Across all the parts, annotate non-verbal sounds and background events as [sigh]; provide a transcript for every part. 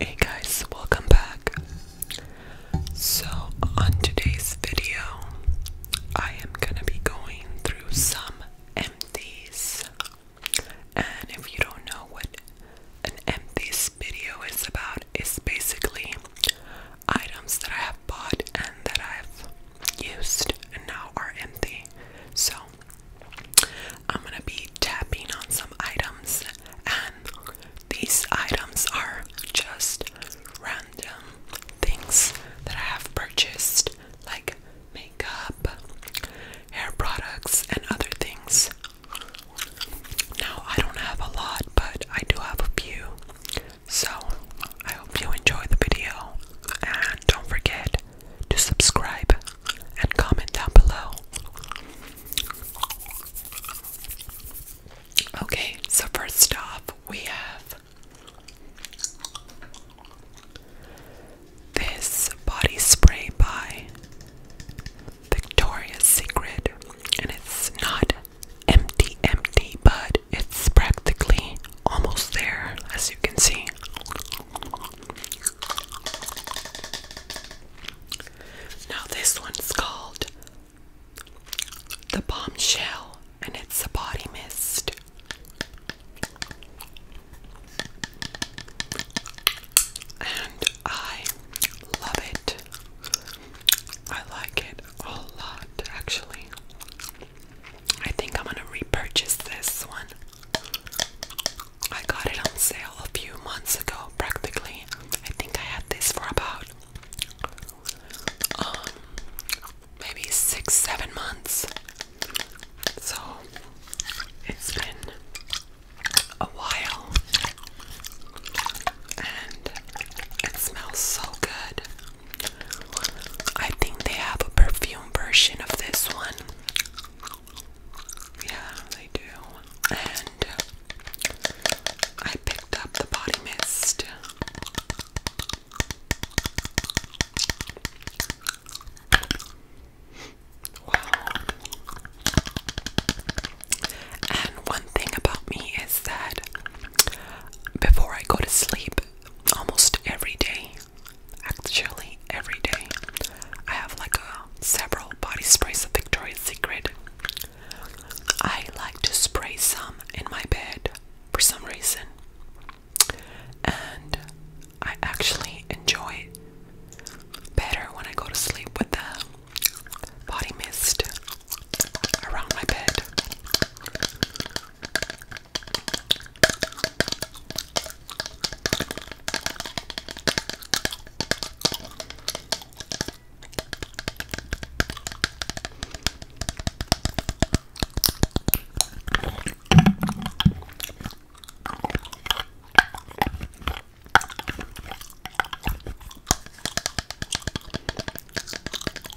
Hey guys, welcome back. So, on today's video, I am gonna be going through some empties. And if you don't know what an empties video is about, it's basically items that I have bought and that I've used and now are empty. So I'm gonna be tapping on some items, and these items are just random things that I have purchased, like makeup, hair products, and other things. Now, I don't have a lot, but I do have a few. So, I hope you enjoyed the video and don't forget to subscribe and comment down below. Okay, so first off, we have this body spray by Victoria's Secret, and it's not empty, empty, but it's practically almost there, as you can see. Now, this one's called the bombshell, and it's a body mist. And I love it. I like it a lot, actually. I think I'm gonna repurchase this one. I got it on sale a few months ago, practically. I think I had this for about um, maybe six, seven months. So it's been a while and it smells so good. I think they have a perfume version of this one. Yeah, they do. And I picked up the body mist. Wow. And one thing about me is that before I go to sleep, almost every day. Actually, every day. I have like a, several body sprays of Victoria's Secret. I like to spray some in my bed for some reason. And I actually enjoy better when I go to sleep with the body mist around my bed.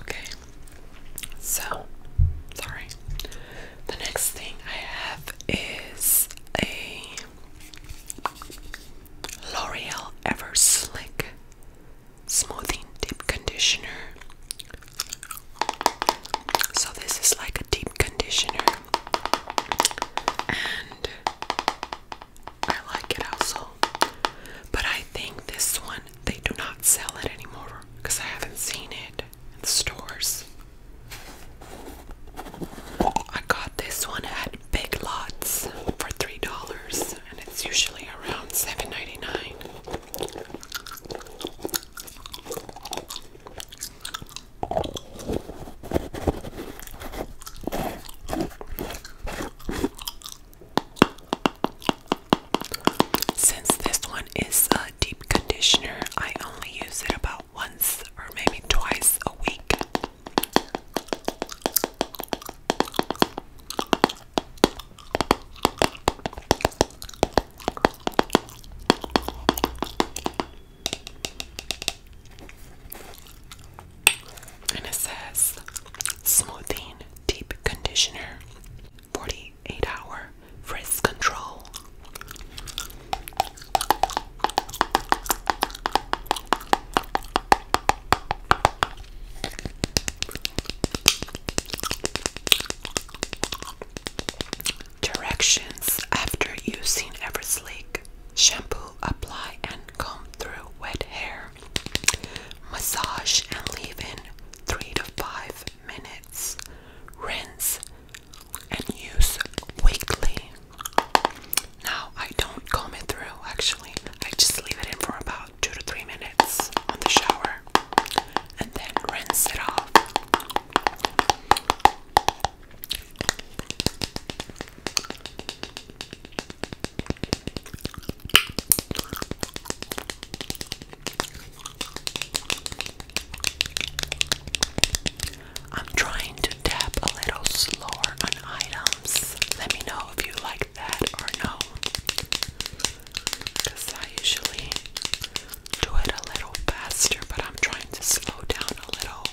Okay, so sorry. The next thing I have is a L'Oreal Ever Slick Smoothing Deep Conditioner. So, this is like a deep conditioner, and I like it also. But I think this one, they do not sell it anymore because I haven't seen it in the stores. I got this one at Big Lots for $3 and it's usually around seven ninety nine. Since this one is a deep conditioner, I only use it about once or maybe twice a week. And it says smoothing deep conditioner, 48 hour frizz control. Directions after using Eversleek shampoo, apply and comb through wet hair. Massage and leave in 3 to 5 minutes. Rinse and use weekly. Now, I don't comb it through actually. I just leave it in for about 2 to 3 minutes on the shower and then rinse it off. I'm trying to tap a little slower on items. Let me know if you like that or no. Because I usually do it a little faster, but I'm trying to slow down a little.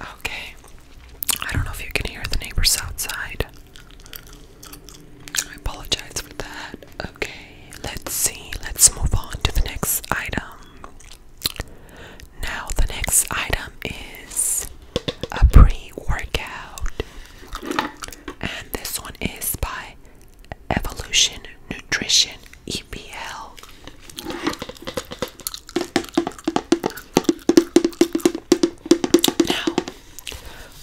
Okay. I don't know if you can hear the neighbors outside. I apologize for that. Okay, let's see. Let's move on to the next item. Now, the next item is a pre workout, and this one is by Evolution Nutrition EPL. Now,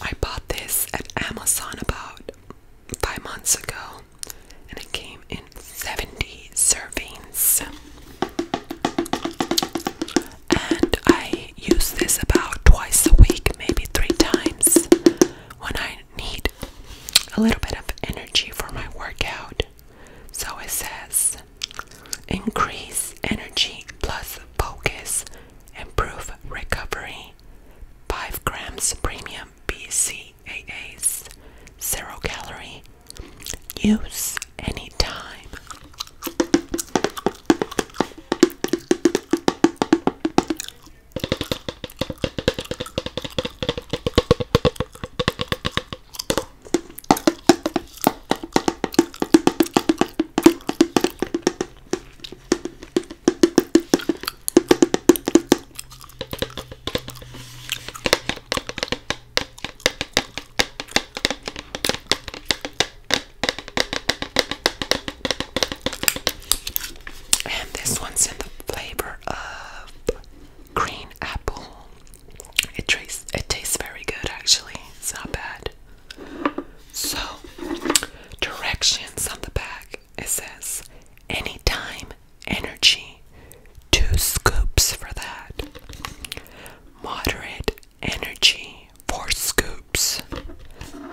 I bought this at Amazon about five months ago, and it came in 70 servings and I use this about twice a week, maybe three times, when I need a little bit of energy for my workout. So it says increase energy plus focus, improve recovery, 5 grams premium BCAAs, zero calorie, use anytime. And this one's in the flavor of green apple. It tastes it tastes very good actually. It's not bad. So directions on the back it says anytime energy two scoops for that. Moderate energy, four scoops.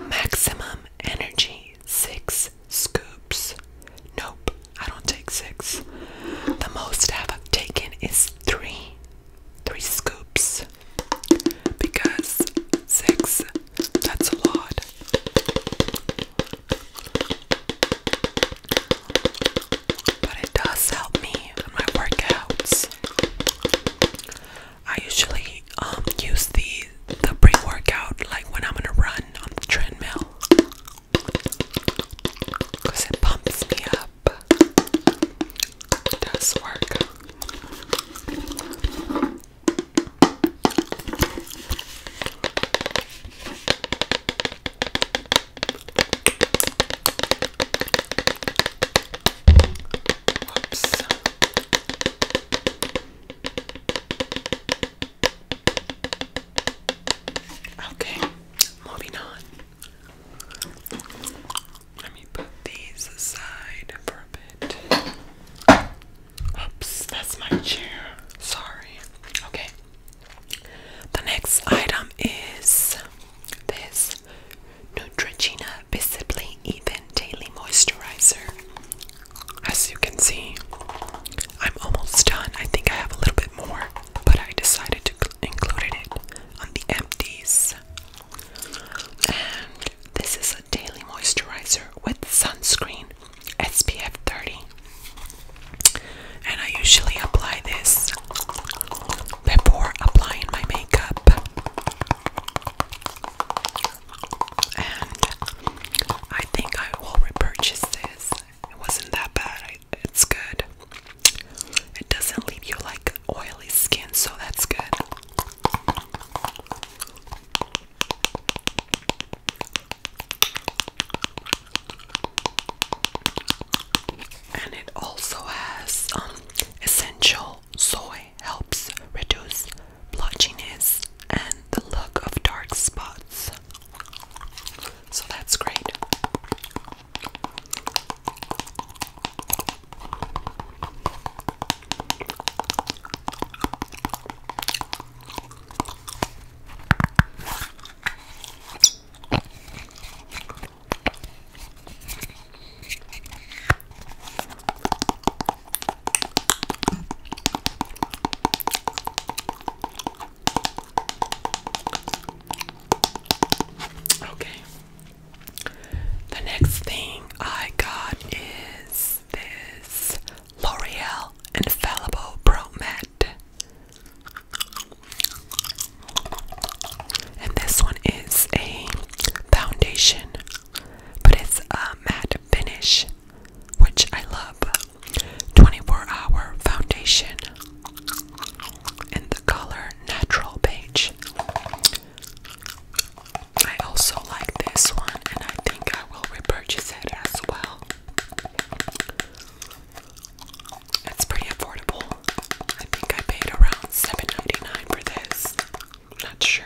Maximum energy, six scoops. Nope, I don't take six. The most I've taken is three. Three scoops. Because six, that's a lot. But it does help me in my workouts. I usually um, use the the pre-workout like when I'm gonna run on the treadmill because it pumps me up. It does work. Okay, moving on. Let me put these aside for a bit. Oops, that's my chair. Sorry. Okay, the next item is this Neutrogena Visibly Even Daily Moisturizer. As you can see, I'm almost done. I think I have a little bit more, but I decided to include it on the empties. And this is a daily moisturizer with sunscreen SPF 30. And I usually apply this before applying my makeup. And I think I will repurchase this. It wasn't that bad. It's good. It doesn't leave you like oily skin, so that's good. And it also has um, essential soy helps reduce blotchiness and the look of dark spots. So that's great. Okay. The next thing I got is this L'Oreal Infallible Pro Matte and this one is a foundation, but it's a matte finish, which I love. 24 hour foundation in the color Natural Beige. I also like this one, and I think I will repurchase it as well. That's pretty affordable. I think I paid around $7.99 for this. Not sure.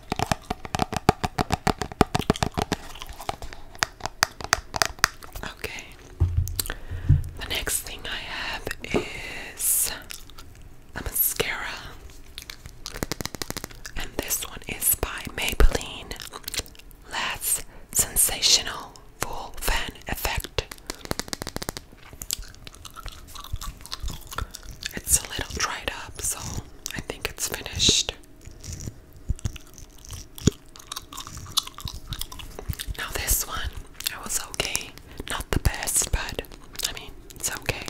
Okay. The next thing I have is a mascara. And this one is by Maybelline. Last sensational full fan effect. It's a little dried up, so I think it's finished. Now, this one, I was okay. Not the best, but I mean, it's okay.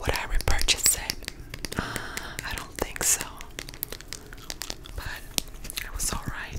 Would I repurchase it? Uh, I don't think so. But it was alright.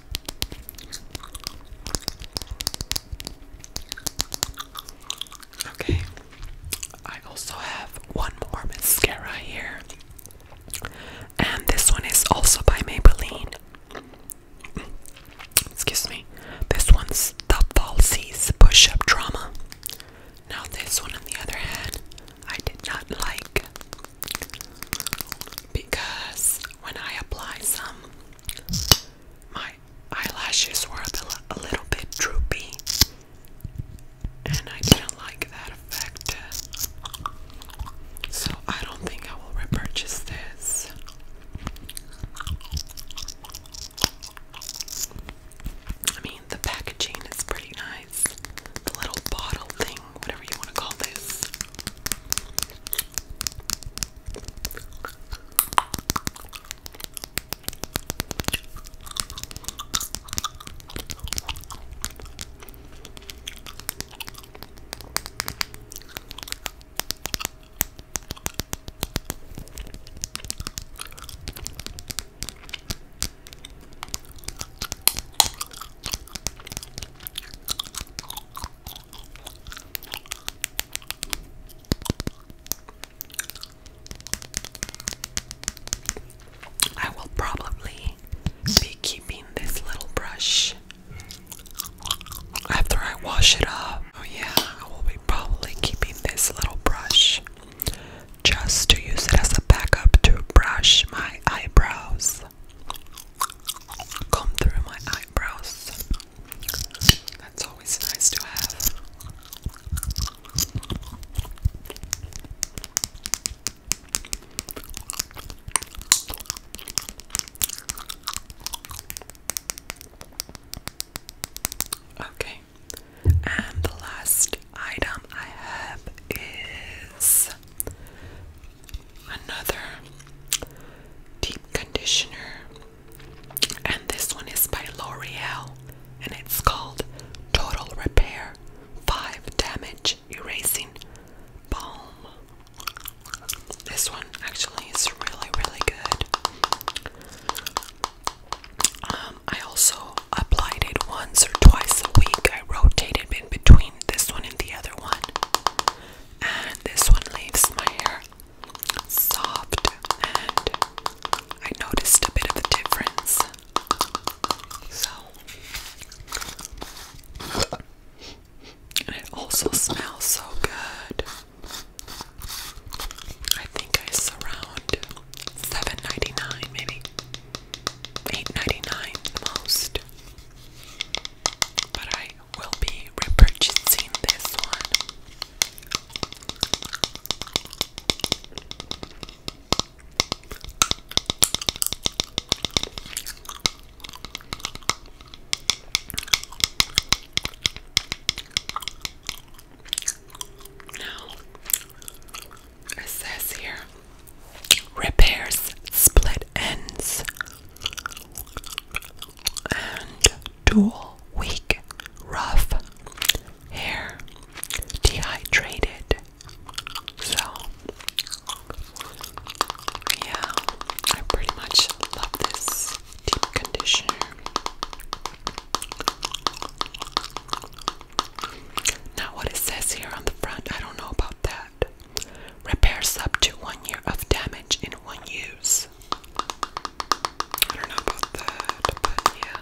Okay, I also have one more mascara here, and this one is also by Maybelline. [clears throat] Excuse me, this one's the falsies push up drama. Now, this one on the other hand, I did not like because when I apply some, my eyelashes were a little bit droopy, and I didn't like that effect. So I don't think I will repurchase this. I mean, the packaging is pretty nice. The little bottle thing thing, whatever you want to call this. I will probably be keeping this little brush after I wash it up. Oh, yeah, I will be probably keeping this little brush just to use it as a backup to brush my eyebrows comb through my eyebrows. That's always nice to have. Okay, and the last item I have is another deep conditioner, and this one is by L'Oreal, and it's called Total Repair 5 Damage Erasing Balm. This one actually is really, really good. Um, I also applied it once or twice a week. I rotated in between this one and the other one. And this one leaves my hair soft, and I noticed a bit of a difference. So, and it also smells so good. I think it's around seven ninety nine, maybe eight ninety nine, most. But I will be repurchasing this one. Now, it says here repairs split ends and dual weak rough hair dehydrated. So yeah, I pretty much love this deep conditioner. Now, what it says here on the front, I don't know about that. Repairs up to one year of damage in one use. I don't know about that, but yeah.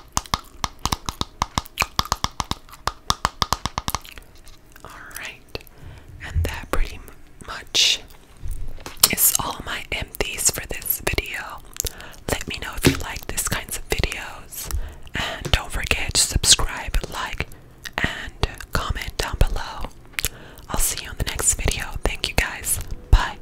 Alright, and that pretty much is all my empties for this video. Let me know if you like this kinds of videos, and don't forget to subscribe, like, and comment down below. I'll see you in the next video. Thank you guys. Bye.